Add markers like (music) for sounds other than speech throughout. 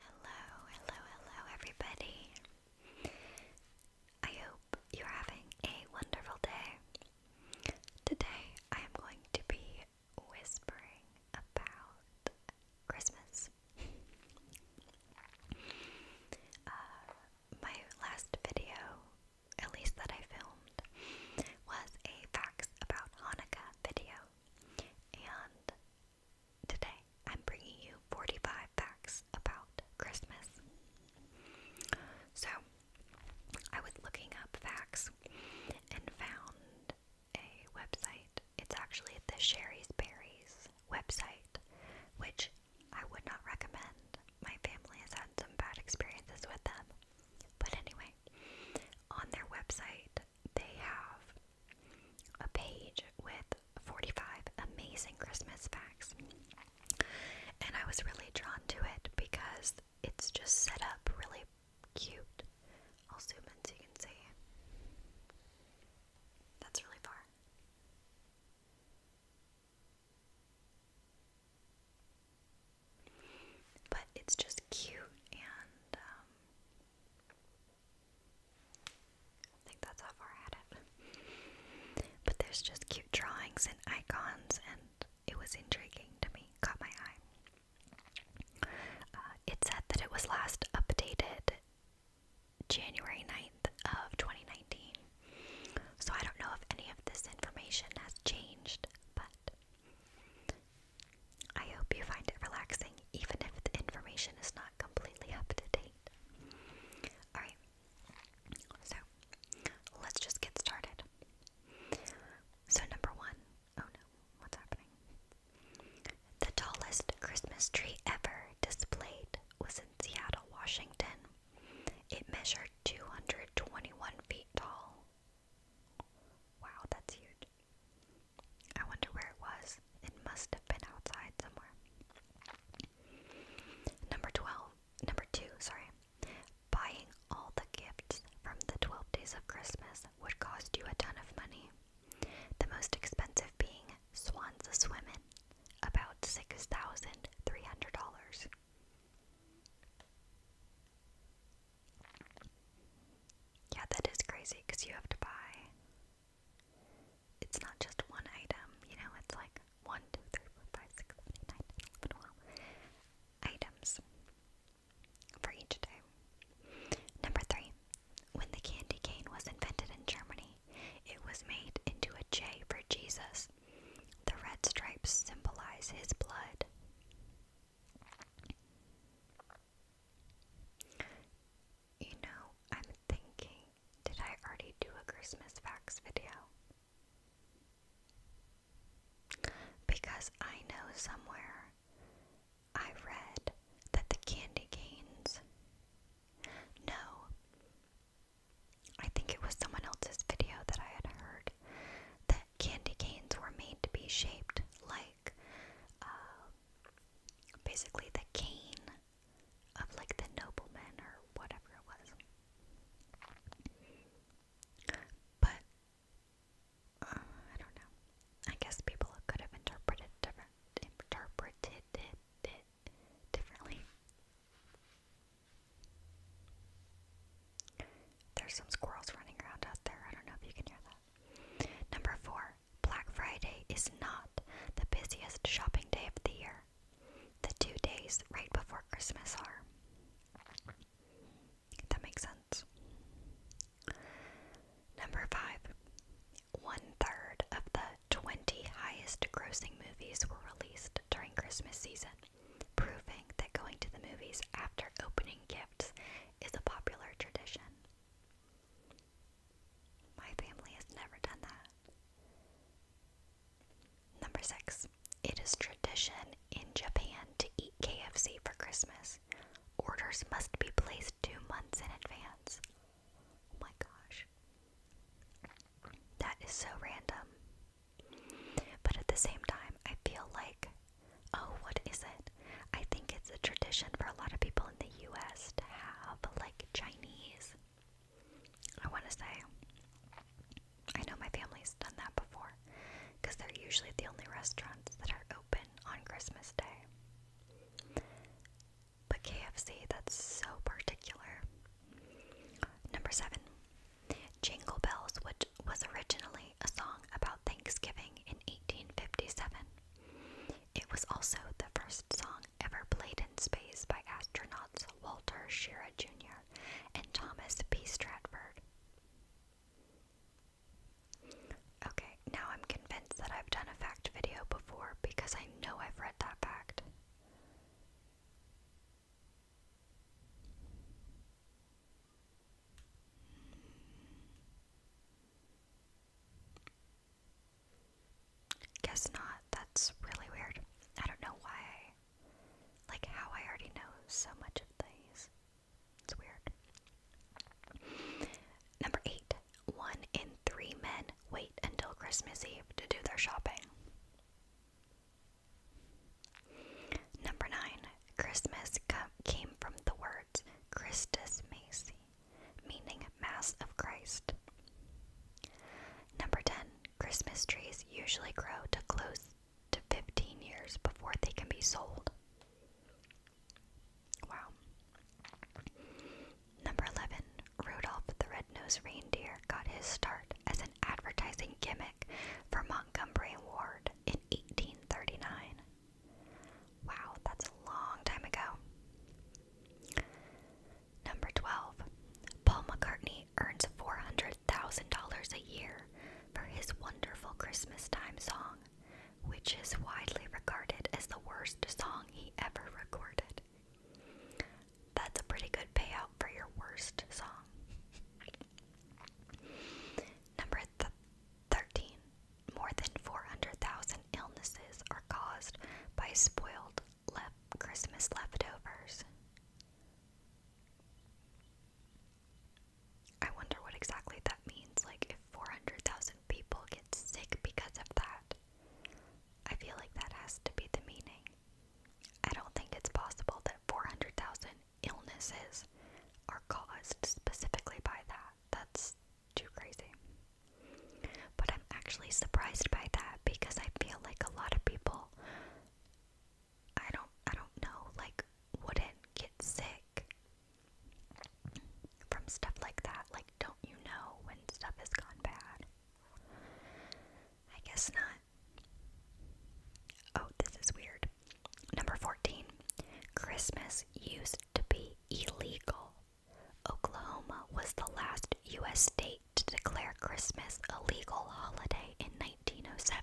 Hello, hello, hello, everybody. I hope you're having a wonderful day. Today, I am going to be whispering about Christmas. Uh, my last video, at least that I filmed, was a facts about Hanukkah video, and Today, I'm bringing you 45 facts about Christmas. So, I was looking up facts and found a website. It's actually the Sherry's Berries website, which I would not recommend. My family has had some bad experiences with them. But anyway, on their website, they have a page with 45 amazing Christmas facts. And I was really drawn to it because it's just set up really cute. I'll zoom in so you can see. That's really far. But it's just cute and um, I think that's how far I had it. But there's just cute drawings and icons, and it was intriguing to me, caught my eye. Uh, it said that it was last updated January 9th of 2019. So I don't know if any of this information has changed, but I hope you find it relaxing, even if the information is not completely up to date. Alright, so let's just get started. So, number one, oh no, what's happening? The tallest Christmas tree ever displayed was in Seattle, Washington. It measured 221 feet tall. Wow, that's huge. I wonder where it was. It must have been outside somewhere. Number 12, number 2, sorry. Buying all the gifts from the 12 days of Christmas would cost you a ton of money. The most expensive being Swans a Swimmin', about $6,300. Yeah, that is crazy because you have to buy it's not just one item, you know, it's like 1, items for each day. Number 3. When the candy cane was invented in Germany, it was made into a J for Jesus. The red stripes symbolize his blood. You know, I'm thinking, did I already do a Christmas facts video? Because I know somewhere I read that the candy canes. No. I think it was someone else's video that I had heard that candy canes were made to be shaped like um, basically the cane of like the nobleman or whatever it was. But uh, I don't know. I guess people could have interpreted it differently. There's some squirrels running around out there. I don't know if you can hear that. Number four, Black Friday is not the busiest shopping day of the year. The two days right before Christmas are. That makes sense. Number five. One third of the 20 highest grossing movies were released during Christmas season, proving that going to the movies after opening gifts is a popular tradition. My family has never done that. Number six, it is tradition in Japan to eat KFC for Christmas. Orders must be placed two months in advance. Oh my gosh. That is so random. But at the same time, I feel like, oh, what is it? I think it's a tradition for a lot of people in the US to have like Chinese. I want to say. I know my family's done that before because they're usually the only restaurants that are open on Christmas Day. But KFC, that's so particular. Number seven, Jingle Bells, which was originally a song about Thanksgiving in 1857. It was also the first song ever played in space by astronauts Walter Schirra Jr. and Thomas P. Stratford. Okay, now I'm convinced that I've done a fact video before because I know I've read that fact. Guess not. That's really weird. I don't know why. I, like, how I already know so much of these. It's weird. Number eight. One in three men wait until Christmas Eve to do their shopping. Number nine. Christmas came from the words Christus Macy meaning Mass of Christ. Number 10. Christmas trees usually grow to close to 15 years before they can be sold. Wow. Number 11. Rudolph the Red-Nosed Reindeer got his start as an advertising gimmick for Montgomery Ward in 1839. Wow, that's a long time ago. Number 12. Paul McCartney earns $400,000 a year for his wonderful Christmas time song, which is widely regarded as the worst song he ever recorded. That's a pretty good payout for your worst song. Number 13 more than 400,000 illnesses are caused by spoiled lef Christmas leftovers. I wonder what exactly that means, like if 400,000 people get sick because of that. I feel like that has to be the meaning. I don't think it's possible that 400,000 illnesses are caused specifically by that. That's too crazy. But I'm actually surprised by that because I feel like a lot of people I don't I don't know like wouldn't get sick from stuff like that. Like don't you know when stuff has gone bad? I guess not. Oh, this is weird. Number 14. Christmas used to be illegal Oklahoma was the last U.S. state to declare Christmas a legal holiday in 1907.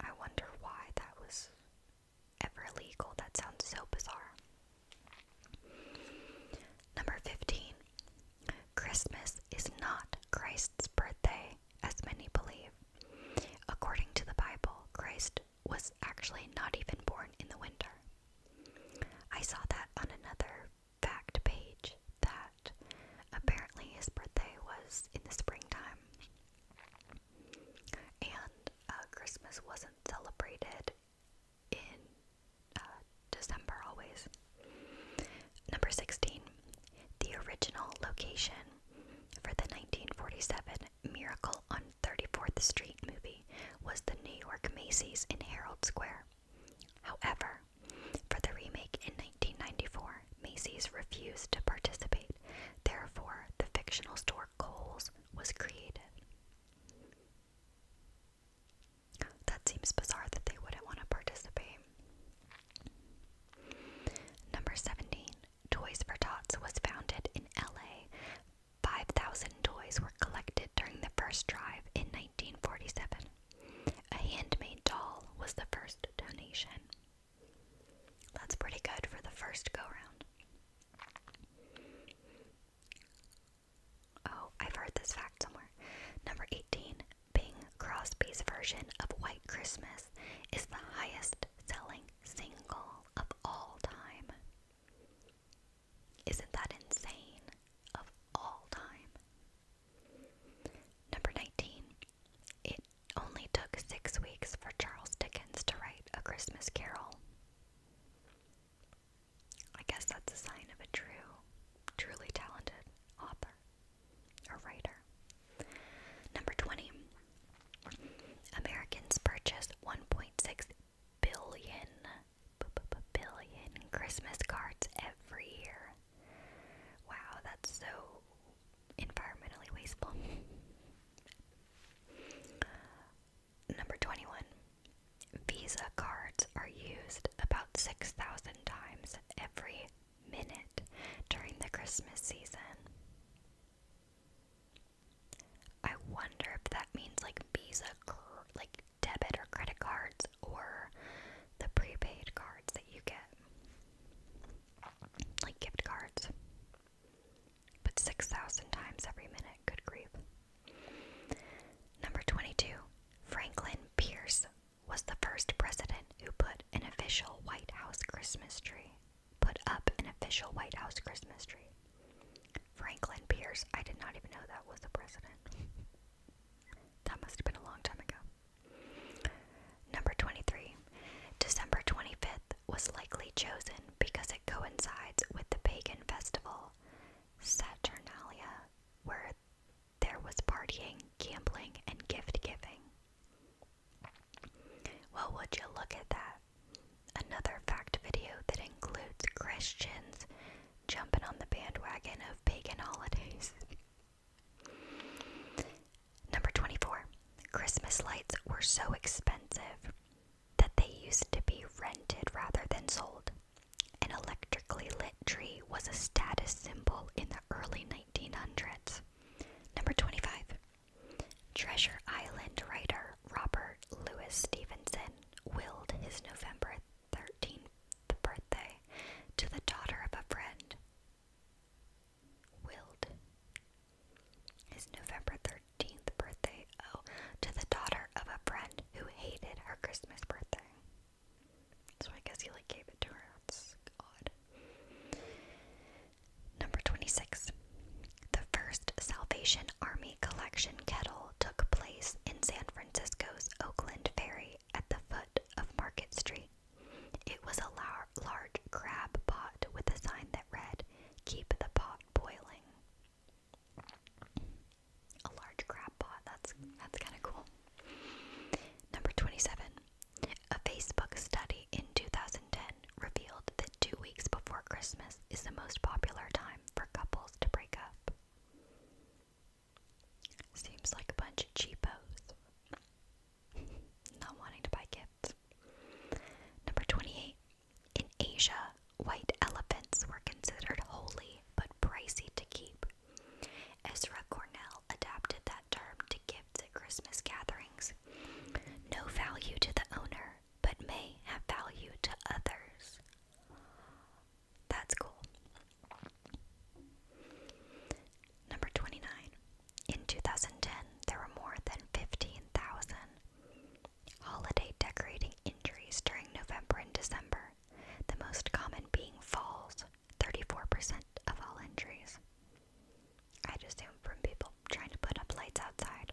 I wonder why that was ever legal. That sounds so bizarre. Number 15. Christmas is not Christ's birthday, as many believe. According to the Bible, Christ was actually not even born in the winter. I saw that on another fact page that apparently his birthday was in the springtime and uh, Christmas wasn't celebrated in uh, December always. Number 16. The original location for the 1947 Miracle on 34th Street movie was the New York Macy's in Herald Square. However, for the remake in 1994, Macy's refused to participate. Therefore, the fictional store Kohl's was created. That seems bizarre that they wouldn't want to participate. Number 17, Toys for Tots was founded in LA 5,000 toys were collected during the first drive in 1947. A handmade doll was the first donation. That's pretty good for the first go round. Oh, I've heard this fact somewhere. Number 18 Bing Crosby's version of White Christmas is the highest selling single of all time. Isn't that insane? Of all time. Number 19. It only took six weeks for Charles Dickens to write A Christmas Carol. I guess that's a sign of a true, truly talented author or writer. Number 20. Americans purchased $1.6 billion, Christmas cards every year. Wow, that's so environmentally wasteful. (laughs) Number 21. Visa cards are used about 6,000 times every minute during the Christmas season. I wonder if that means like Visa, like debit or credit cards, or the prepaid cards that you get, like gift cards. But 6,000 times every minute, good grief. Number 22, Franklin Pierce was the first president who put an official White House Christmas tree. Put up an official White House Christmas tree. Franklin Pierce. I did not even know that was the president. (laughs) that must have been a long time ago. Number 23. December 25th was likely chosen because it coincides with the pagan festival Saturnalia, where there was partying, gambling, and gift giving. Well, would you look at that? Another fact video that includes Christians jumping on the bandwagon of pagan holidays. Number 24. Christmas lights were so expensive that they used to be rented rather than sold. An electrically lit tree was a status symbol in the early 1900s. Number 25. Treasure Island writer Robert Louis Stevenson willed his November 13th birthday to the daughter of a friend. Willed his November 13th birthday, oh, to the daughter of a friend who hated her Christmas birthday. So I guess he like gave it to her. That's odd. Number 26. The first Salvation Army collection kettle took place in San Francisco's Oakland Ferry at the foot of Market Street. It was a large crab pot with a sign that read, Keep the pot boiling. A large crab pot, that's, that's kind of cool. Number 27. A Facebook study in 2010 revealed that two weeks before Christmas, is the most popular time for couples to break up. Seems like a bunch of cheapos. (laughs) Not wanting to buy gifts. Number 28. In Asia, white elephants were considered holy but pricey to keep. Ezra Cornell adapted that term to gifts at Christmas gatherings. No value to the owner, but may have value to others. That's cool. Number 29. In 2010, there were more than 15,000 holiday decorating injuries during November and December, the most common being falls, 34% of all injuries. I assume from people trying to put up lights outside.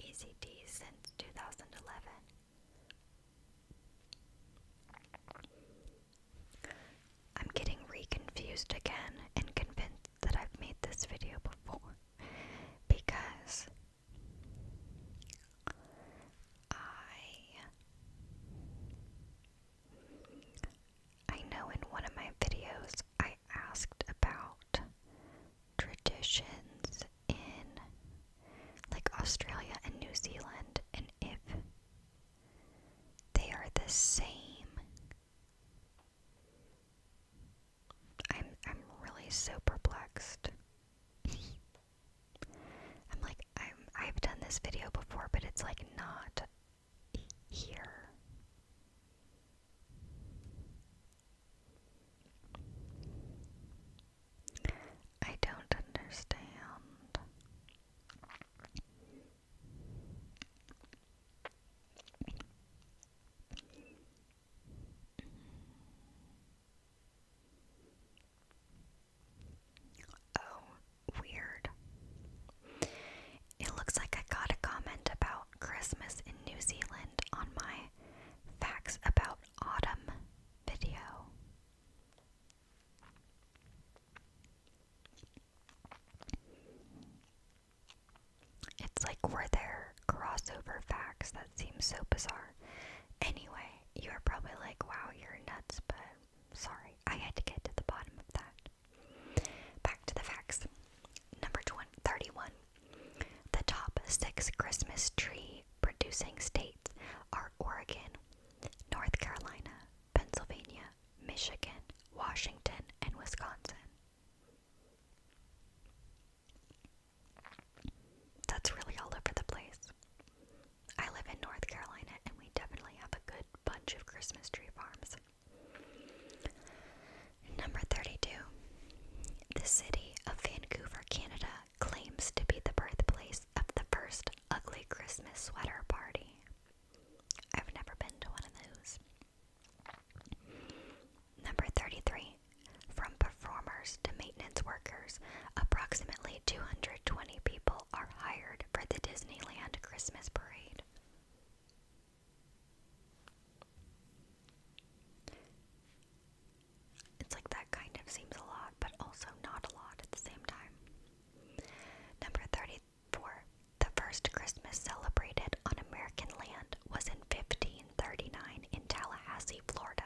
ECT since 2011. I'm getting reconfused again and convinced that I've made this video before because I I know in one of my videos I asked about traditions in like Australia and New Zealand and if they are the same. I'm I'm really so perplexed. I'm like I'm I've done this video before but it's like not here. I don't understand. Oh, weird. It looks like I got a comment about Christmas in New Zealand on my facts about autumn video. It's like were there crossover facts that seem so bizarre. Anyway, you are probably like, wow, you're nuts, but sorry, I had to get to the bottom of that. Back to the facts. Number 20, the top six Christmas tree producing states are Oregon, North Carolina, Pennsylvania, Michigan, Washington, and Wisconsin. That's really all over the place. I live in North Carolina and we definitely have a good bunch of Christmas tree farms. Number 32. The city of Vancouver, Canada claims to be the birthplace of the first ugly Christmas sweater party. I've never been to one of those. Number 33. From performers to maintenance workers, approximately 220 people are hired for the Disneyland Christmas parade. It's like that kind of seems a lot, but also not a lot at the same time. Number 34. The first Christmas celebrated on American land was in 1539 in Tallahassee, Florida.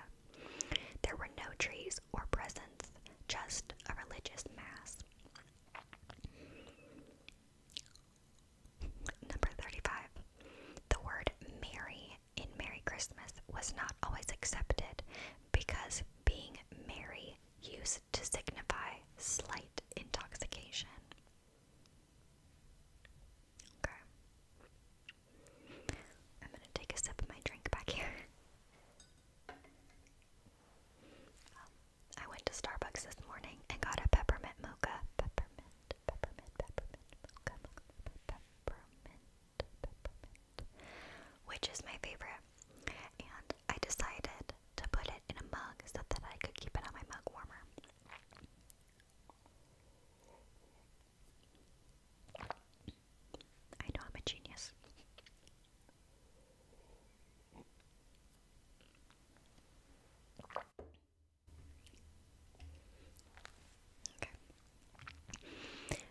There were no trees or presents, just a religious mass. Number 35. The word Merry in Merry Christmas was not always accepted because being merry used to signify slight intoxication. Okay. I'm going to take a sip of my drink back here. Um, I went to Starbucks this morning and got a peppermint mocha. Peppermint peppermint, peppermint, which is my favorite. And I decided to put it in a mug so that I could keep it on my mug warmer. I know I'm a genius.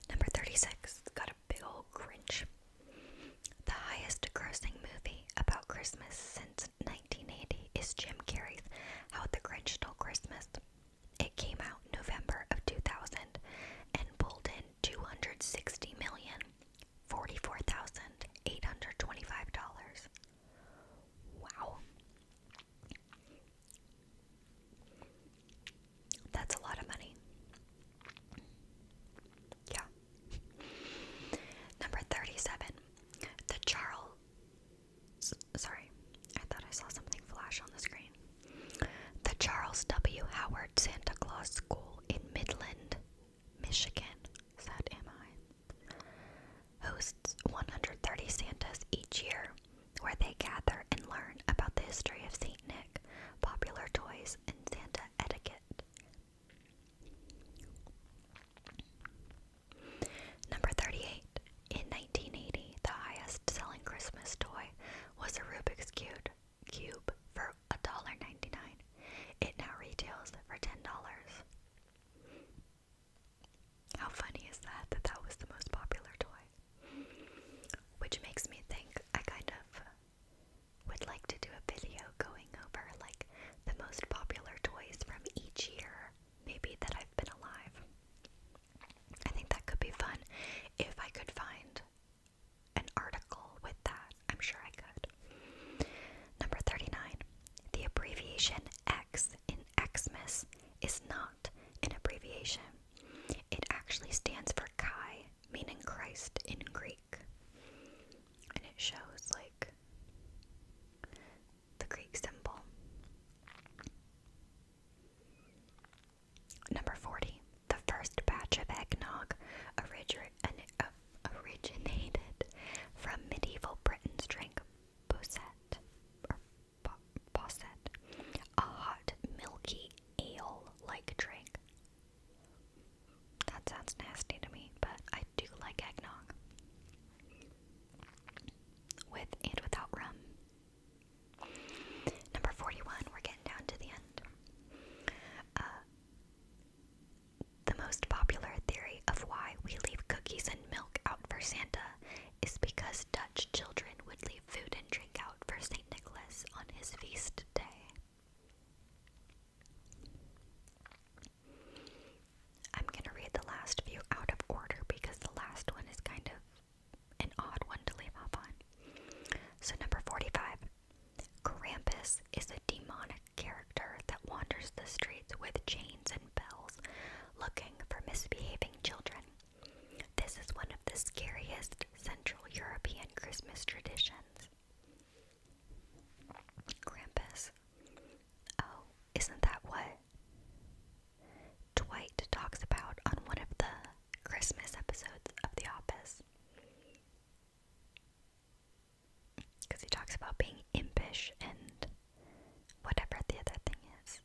Number 36 got a big old cringe. The highest grossing movie about Christmas since 1980 is Jim Carrey's How the Grinch Stole Christmas. It came out November of 2000 and pulled in 260 million dollars Wow. That's a lot of money. Yeah. Number 37. The Charles. Sorry, I thought I saw something flash on the screen. The Charles W. Howard Santa Claus School in Midland, Michigan. Is that am I? hosts 130 Santas each year, where they gather and learn about the history of St. Nick, popular toys, and Santa etiquette. Number 38. In 1980, the highest selling Christmas toy was a Rubik's Cube, cube for $1.99. It now retails for $10. How funny is that that that was the most popular toy? Which makes me think I kind of would like to do a video going over like the most popular toys from each year, maybe that I've been alive. I think that could be fun if I could find an article with that. I'm sure I could. Number 39. The abbreviation X in Xmas is not an abbreviation. It actually stands for Chi, meaning Christ in Greek. And it shows like the Greek symbol. Number 40. The first batch of eggnog uh, originated from medieval Britain's drink Bosette posset, a hot, milky ale-like drink. That sounds nasty to me, but I do like eggnog. With and without rum. Number 41, we're getting down to the end. Uh, the most popular theory of why we leave cookies and milk out for Santa is because Dutch children would leave food and drink out for St. Nicholas on his feast day. I'm going to read the last few out of order because the last one is kind of an odd one to leave off on. So, number 45 Krampus is a demonic character that wanders the streets with chains and bells looking for misbehaving children. This is one of the scariest Central European Christmas traditions. Krampus. Oh, isn't that what Dwight talks about on one of the Christmas episodes of The Office? Because he talks about being impish and whatever the other thing is.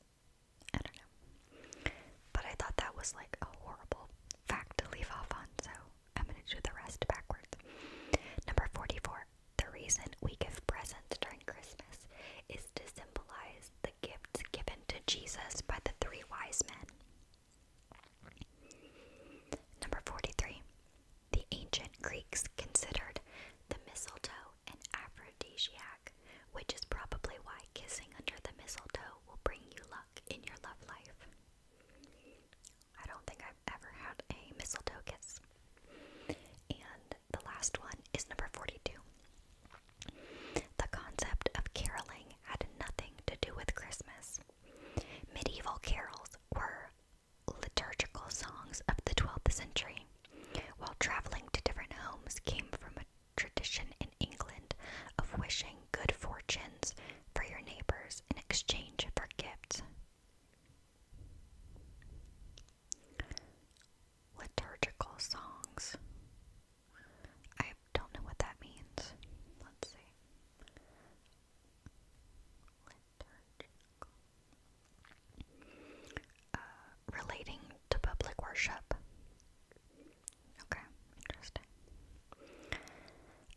I don't know. But I thought that was like a horrible fact to leave off on, so I'm gonna do the rest backwards. Number 44. The reason we give presents during Christmas is to symbolize the gifts given to Jesus by the three wise men. Number 43. The ancient Greeks considered the mistletoe an aphrodisiac, which is probably why kissing under the mistletoe will bring you luck in your love life. I don't think I've ever had a mistletoe kiss. And the last one is number 42. The concept of caroling had nothing to do with Christmas. Medieval carols were liturgical songs of the 12th century while traveling to different homes came from a tradition in England of wishing good fortunes for your neighbors in exchange for gifts. Liturgical songs. I don't know what that means. Let's see. Uh, relating to public worship. Okay, interesting.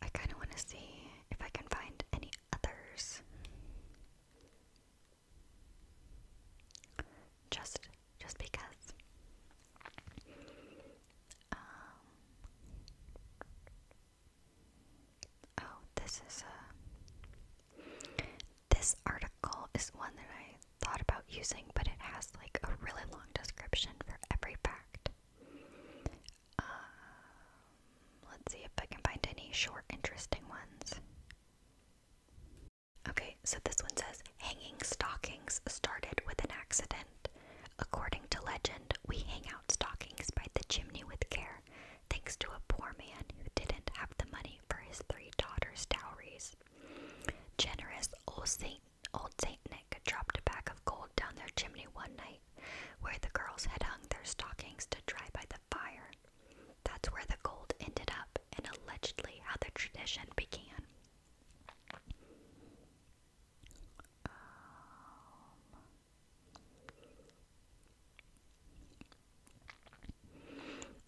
I kind of want to see if I can find any others. Just, just because. Um, oh, this is a this article is one that I thought about using, but it has like a really long description for every fact. Um, let's see if I can find any short, interesting ones. Okay, so this one says hanging stockings started with an accident. According to legend, we hang out stockings by the chimney with care, thanks to a poor man who didn't have the money for his three daughters' dowries. Generous old Saint old Saint Nick dropped a bag of gold down their chimney one night, where the girls had hung their stockings to dry by the fire. That's where the gold ended up and allegedly how the tradition began. Um,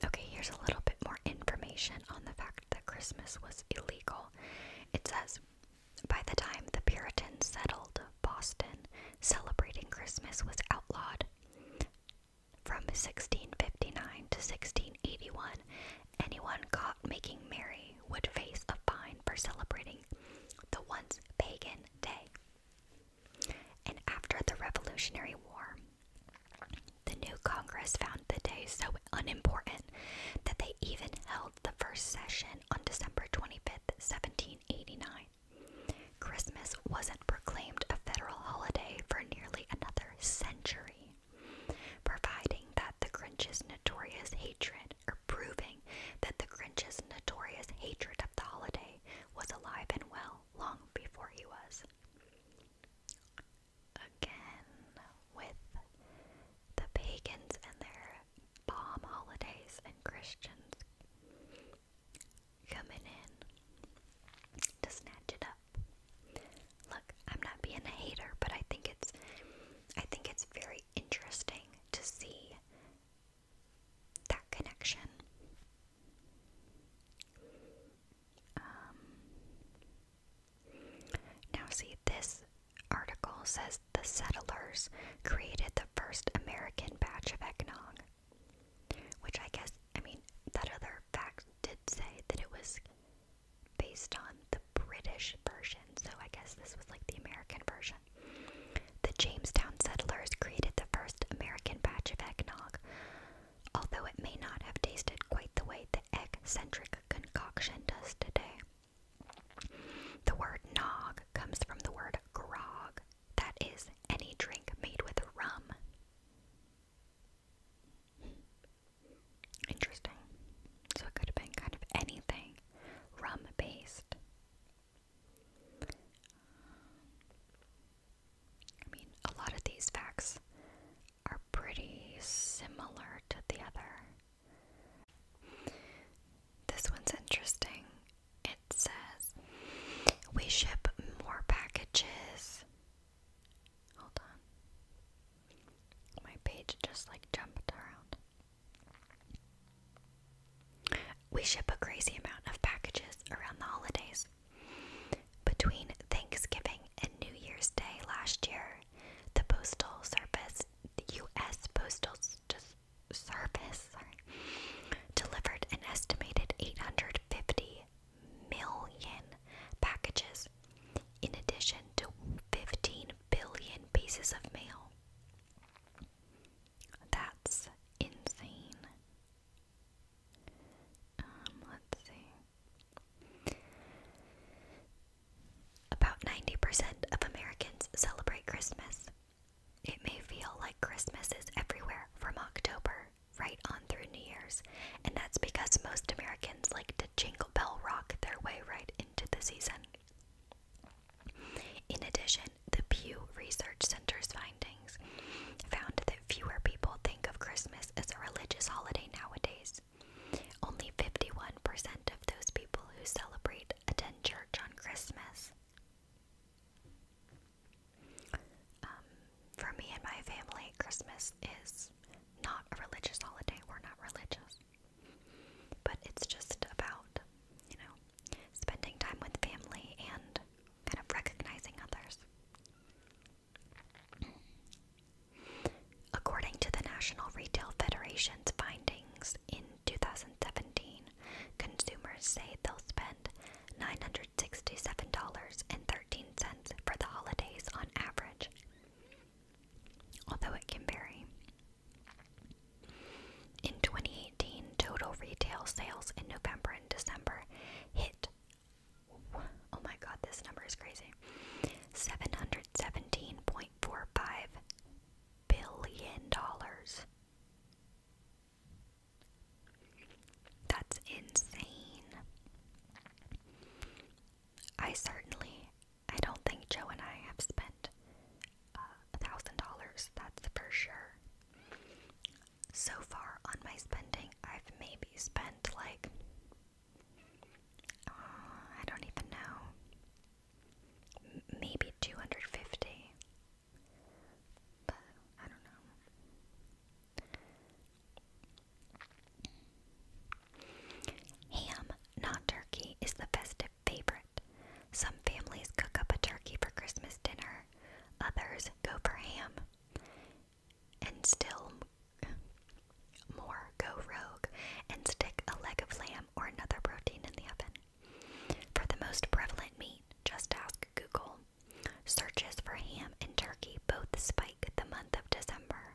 Okay, here's a little bit more information on the fact that Christmas was illegal. It says By the time the Puritans settled Boston, celebrating Christmas was outlawed. From 1659 to 1681, anyone caught making merry would face a fine for celebrating the once pagan day. And after the Revolutionary War, the new Congress found the day so unimportant that they even held the first session on December 25, 1789. Christmas wasn't proclaimed a federal holiday for nearly another century, providing that the Grinch's notorious hatred, or proving that the Grinch's notorious hatred of the holiday was alive and well long before he was again with the pagans and their bomb holidays and Christians coming in to snatch it up. Look, I'm not being a hater, but I think it's I think it's very interesting to see that connection um, now, see, this article says the settlers created the first American batch of eggnog, which I guess, I mean, that other fact did say that it was based on the British version, so I guess this was like the American version. The Jamestown settlers created the first American batch of eggnog, although it may not have tasted quite the way the egg concoction does today. The word nog comes from the word grog, that is, any drink made with rum. Interesting. So it could have been kind of anything rum based. I mean, a lot of these facts are pretty similar to the other. This one's interesting. It says we ship more packages. Hold on. My page just like jumped around. We ship a crazy amount of packages around the holidays. Between Thanksgiving and New Year's Day last year, the Postal Service, U.S. Postal Service, delivered an estimated 850 million packages, in addition to 15 billion pieces of mail. That's insane. Um, let's see. About 90% of Americans celebrate Christmas. It may feel like Christmas is everywhere from October right on through New Year's, and that's because most Americans like to jingle bell rock their way right into the season. In addition, the Pew Research Center's findings found that fewer people think think of Christmas as a religious holiday nowadays. Only 51% of those people who celebrate attend church on Christmas. Um, for me and my family, Christmas is not a religious holiday. We're not religious. But it's just about, you know, spending time with family and kind of recognizing others. According to the National Retail Federation's findings in 2017, consumers say they'll spend $967.13 for the holidays on average, although it can vary. In 2018, total retail sales in November and December hit Oh my god, this number is crazy. 717.45 billion dollars. That's insane. I certainly, I don't think Joe and I have spent uh, a thousand dollars, that's for sure. So far on my spending, I've maybe be spent like uh, I don't even know. maybe 250. But I don't know. Ham, not turkey, is the festive favorite. Some families cook up a turkey for Christmas dinner. Others go for ham and still more go rogue and stick a leg of lamb or another protein in the oven. For the most prevalent meat, just ask Google. Searches for ham and turkey both spike the month of December.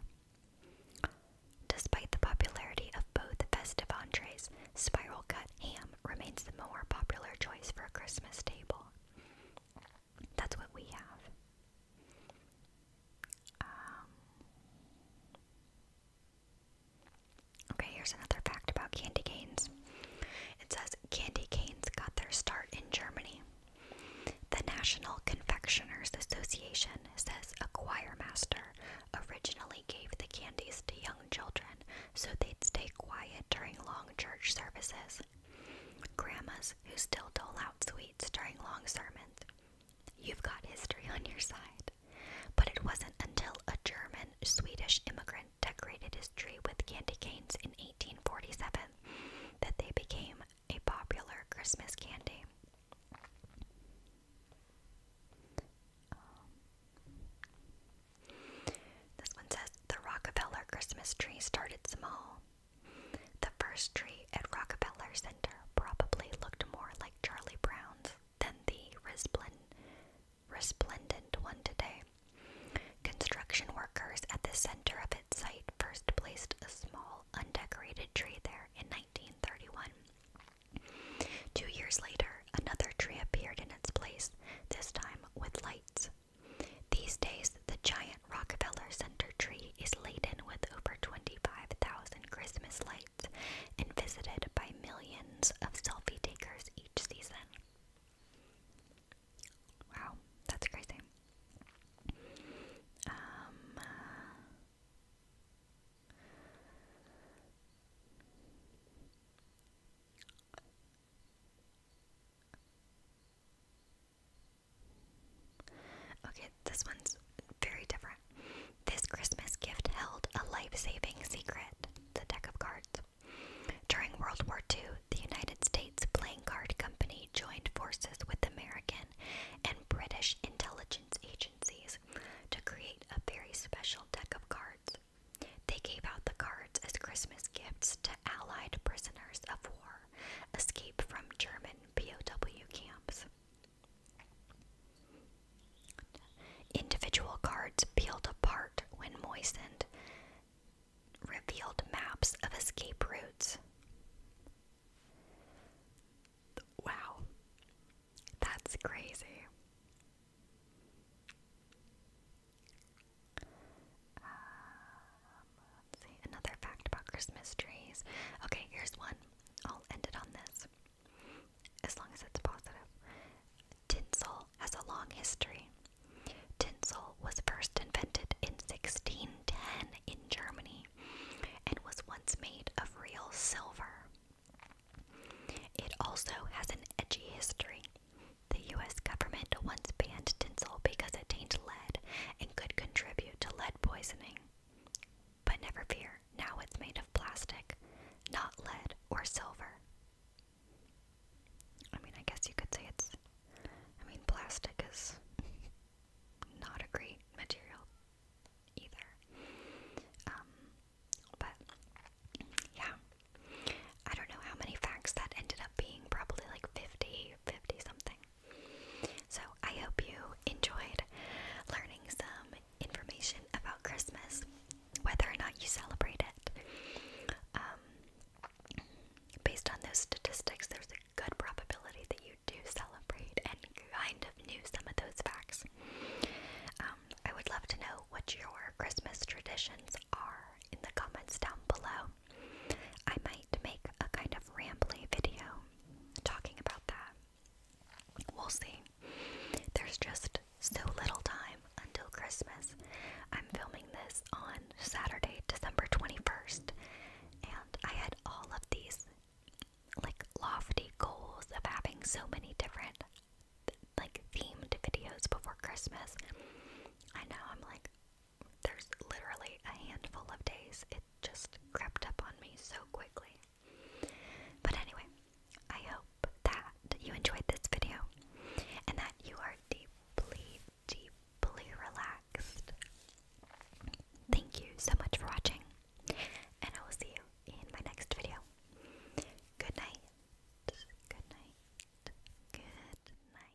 Despite the popularity of both festive entrees, spiral cut ham remains the more popular choice for a Christmas table. That's what we have. Um, okay, here's another fact about candy canes. It says candy canes got their start in Germany. The National Confectioners Association says a choir master originally gave the candies to young children so they'd stay quiet during long church services. Grandmas who still dole out sweets during long sermons. You've got history on your side. But it wasn't until a German Swedish immigrant decorated his tree with candy canes in 1847 that they became a popular Christmas candy. Um, this one says the Rockefeller Christmas tree started small. The first tree at Rockefeller Center probably looked more like Charlie Brown's than the resplendent, resplendent one today. Construction workers at the center of its site first placed a small, undecorated tree there in 1931. Two years later, another tree appeared in its place, this time with lights. These days, the giant Rockefeller Center tree is laden with over 25,000 Christmas lights and visited by millions of selfie takers each season. Wow, that's crazy. Um, uh, Okay, this one's very different. This Christmas gift held a life saving secret. It's deck of cards. During World War II, the United States Playing Card Company joined forces with American and British intelligence agencies to create a very special deck of cards. They gave out the cards as Christmas gifts to Allied prisoners of war escape from German POW camps. Individual cards peeled apart when moistened revealed maps of escape routes. Wow, that's crazy. Uh, see, another fact about Christmas trees. Okay, here's one. I'll end it on this. As long as it's positive. Tinsel has a long history. Tinsel was first invented in 1610 in Germany and was once made of real silver. It also has an edgy history. The US government once banned tinsel because it tainted lead and could contribute to lead poisoning. But never fear, now it's made of plastic, not lead or silver. I mean, I guess you could say it's. I mean, plastic is not a great material either. Um, but yeah, I don't know how many facts that ended up being, probably like 50, something. So, I hope you enjoyed learning some information about Christmas, whether or not you celebrate it. Um, based on those statistics, there's a good probability that you do celebrate and kind of knew some of those facts. Um, I would love to know what your Christmas traditions are in the comments down below. I might make a kind of rambly video talking about that. We'll see. There's just so little time until Christmas. I'm filming this on Saturday, December 21st, and I had all of these like lofty goals of having so many different like themed videos before Christmas. I know I'm like there's literally a handful of days. It just crept up on me so quickly. But anyway, I hope that you enjoyed this video and that you are deeply, deeply relaxed. Thank you so much for watching, and I will see you in my next video. Good night. Good night. Good night.